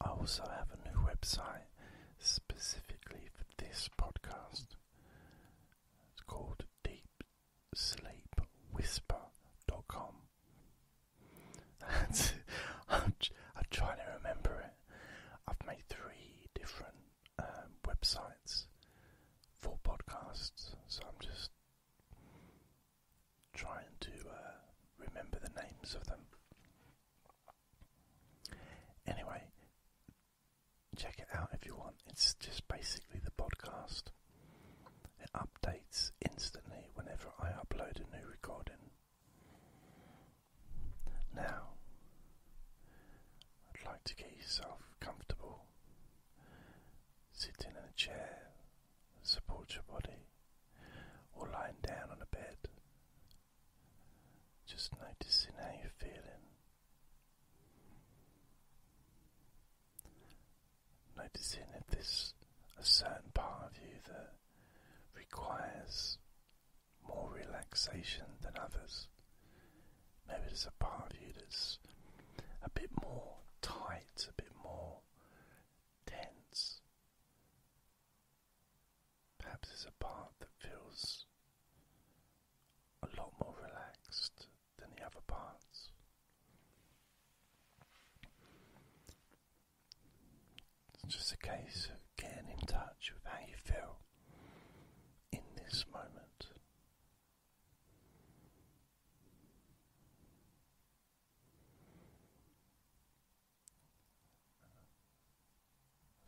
I also have a new website specifically for this podcast. It's called Deep Sleep Whisper dot com. I'm trying to remember it. I've made three different um, websites for podcasts, so I'm just trying to uh, remember the names of them. Anyway, check it out if you want. It's just basically the podcast. It updates instantly whenever I upload a new recording. Now, I'd like to get yourself comfortable. Sitting in a chair, support your body, or lying down on a bed. Just noticing how you're feeling. Noticing if there's a certain part of you that requires more relaxation than others. Maybe there's a part of you that's a bit more tight, a bit more tense. Perhaps there's a part that feels a lot more relaxed than the other parts. It's just a case of getting in touch with how you feel in this moment.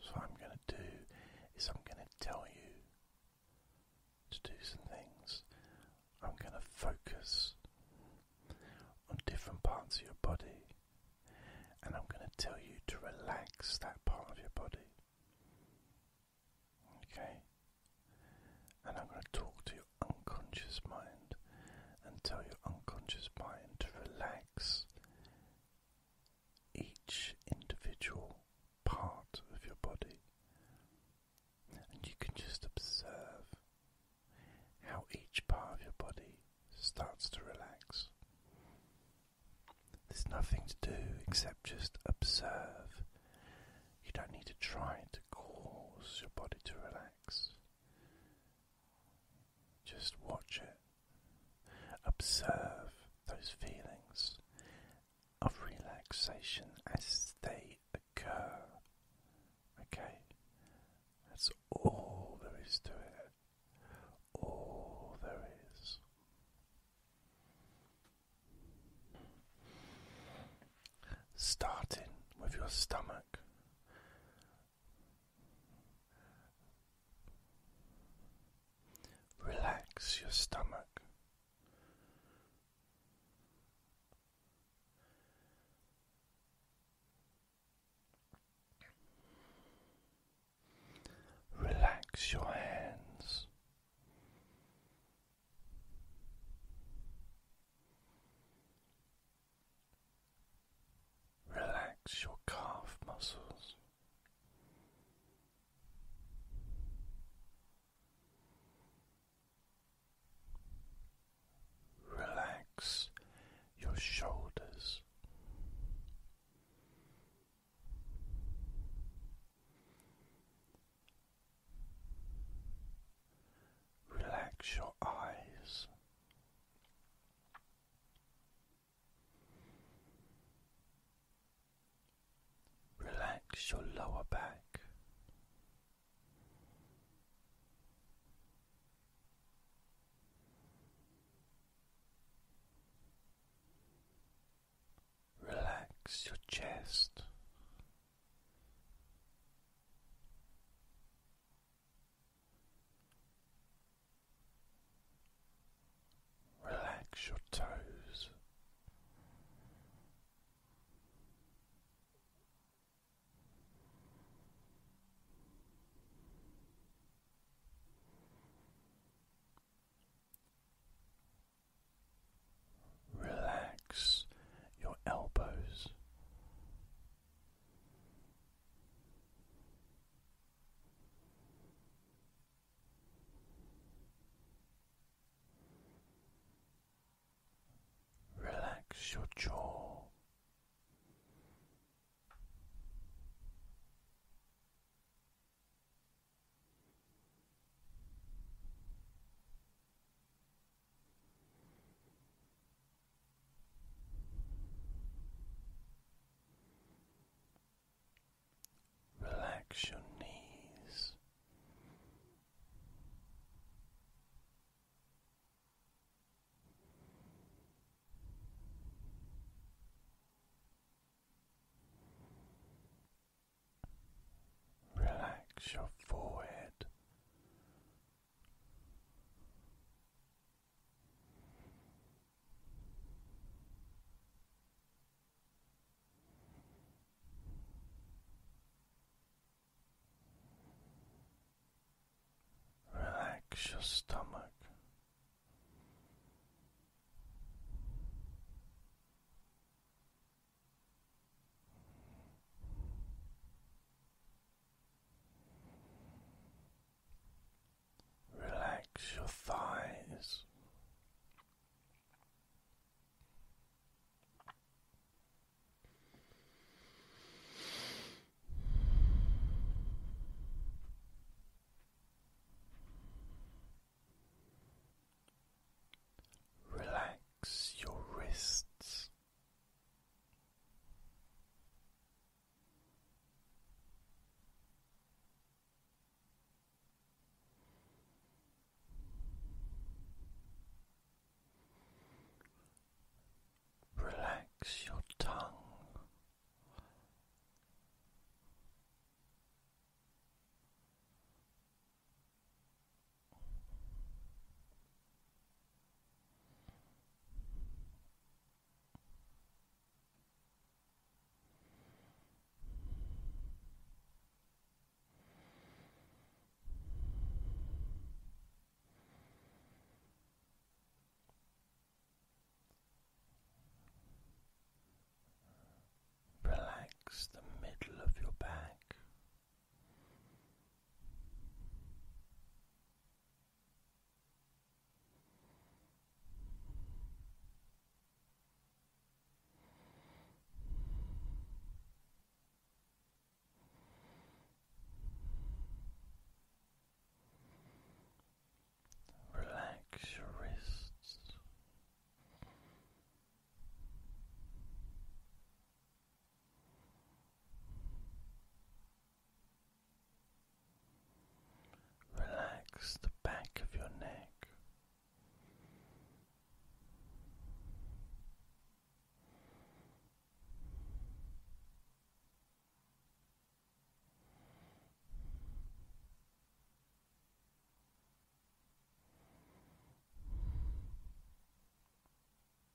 So, what I'm going to do is, I'm going to tell you to do some things. I'm going to focus on different parts of your body, and I'm going to tell you to relax that part of your body. Okay? And I'm going to talk to your unconscious mind and tell your unconscious mind to relax each individual part of your body. And you can just observe how each part of your body starts to relax. There's nothing to do except just observe. You don't need to try to cause your body to relax. Just watch it. Observe those feelings of relaxation as they occur. Okay? That's all there is to it. All there is. Starting with your stomach, Relax your stomach. Relax your hands. Relax your calf muscles. Relax your shoulders. Relax your eyes. Relax your lower back. Relax your chest. Relax your toes. Relax your elbows. Relax your jaw. Relax your knees. Relax your forehead Relax your stomach. Relax your thighs. Relax your wrists. Relax your tongue. Relax the middle of your back. Relax your wrists. Relax the back of your neck.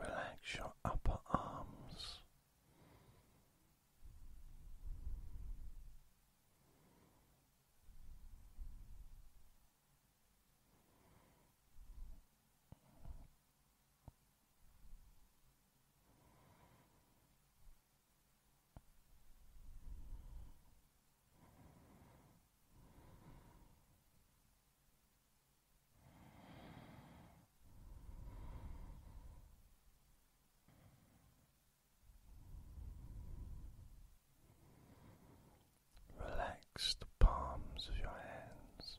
Relax your upper arms. Relax the palms of your hands.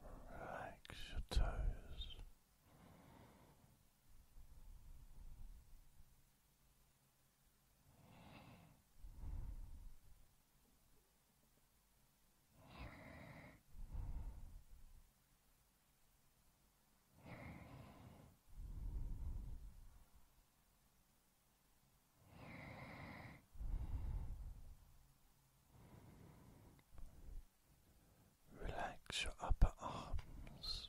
Relax your toes. Relax your upper arms.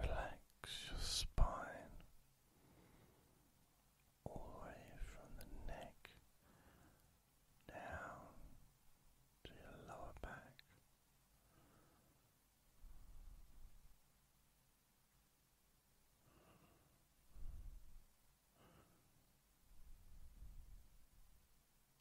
Relax your spine all the way from the neck down to your lower back.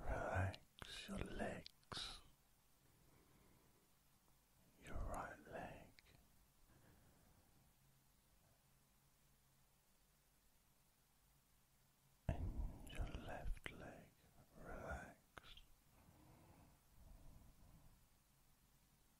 Relax your legs, your right leg, and your left leg. Relax.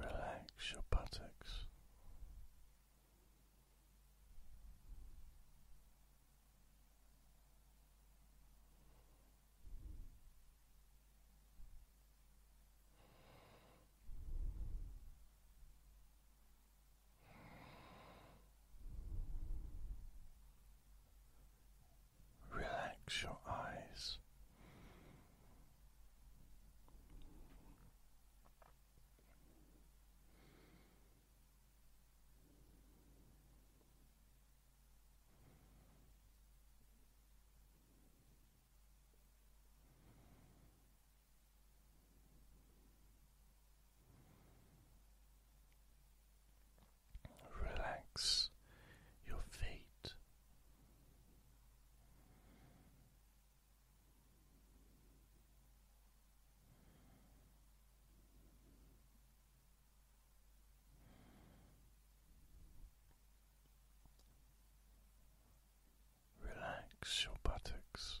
Relax your buttocks. Relax your eyes. Relax your feet Relax your buttocks.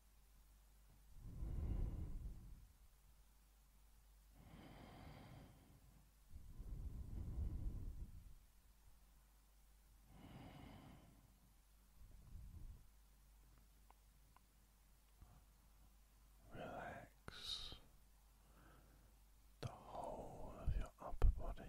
Relax the whole of your upper body.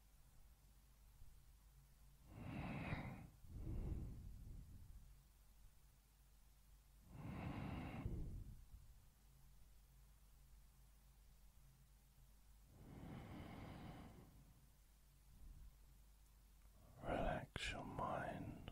Relax your mind.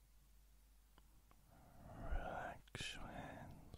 Relax your hands.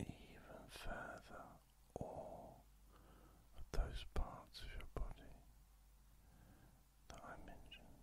even further all those parts of your body that I mentioned.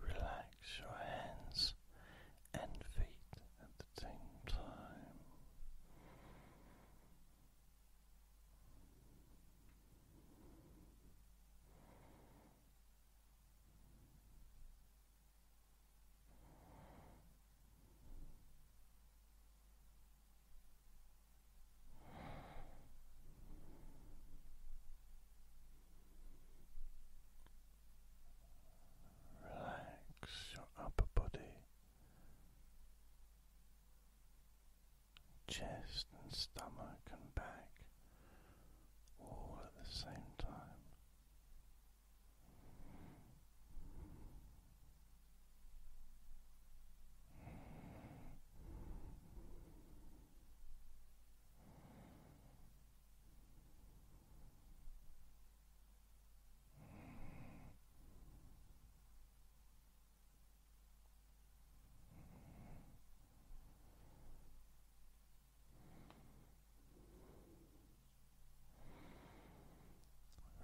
Relax your hands and feet at the same time. Relax your upper body, chest and stomach and back, all at the same time.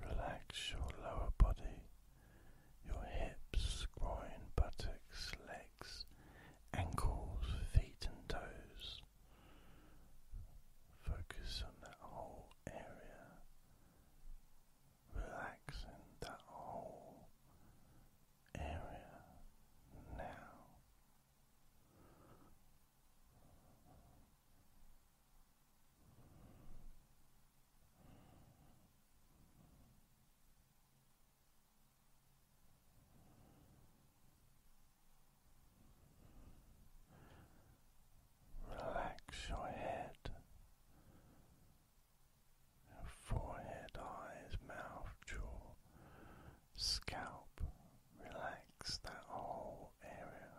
Relax your lower body your hips, groin, buttocks, legs, ankles, feet, and toes. Focus on that whole area, relaxing that whole area now. Relax your head, forehead, eyes, mouth, jaw, scalp. Relax that whole area.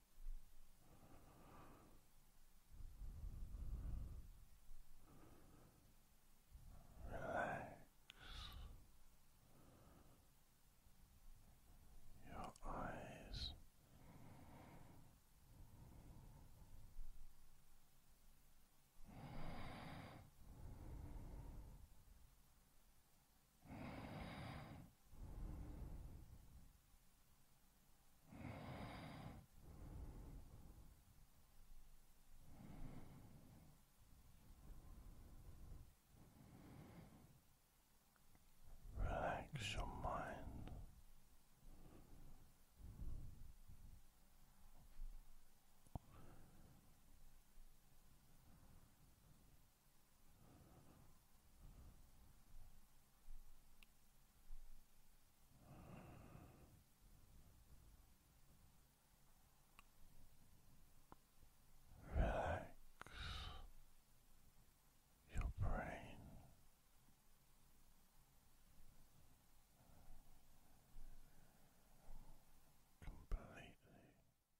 Relax your eyes. Relax your mind. Relax your brain. Completely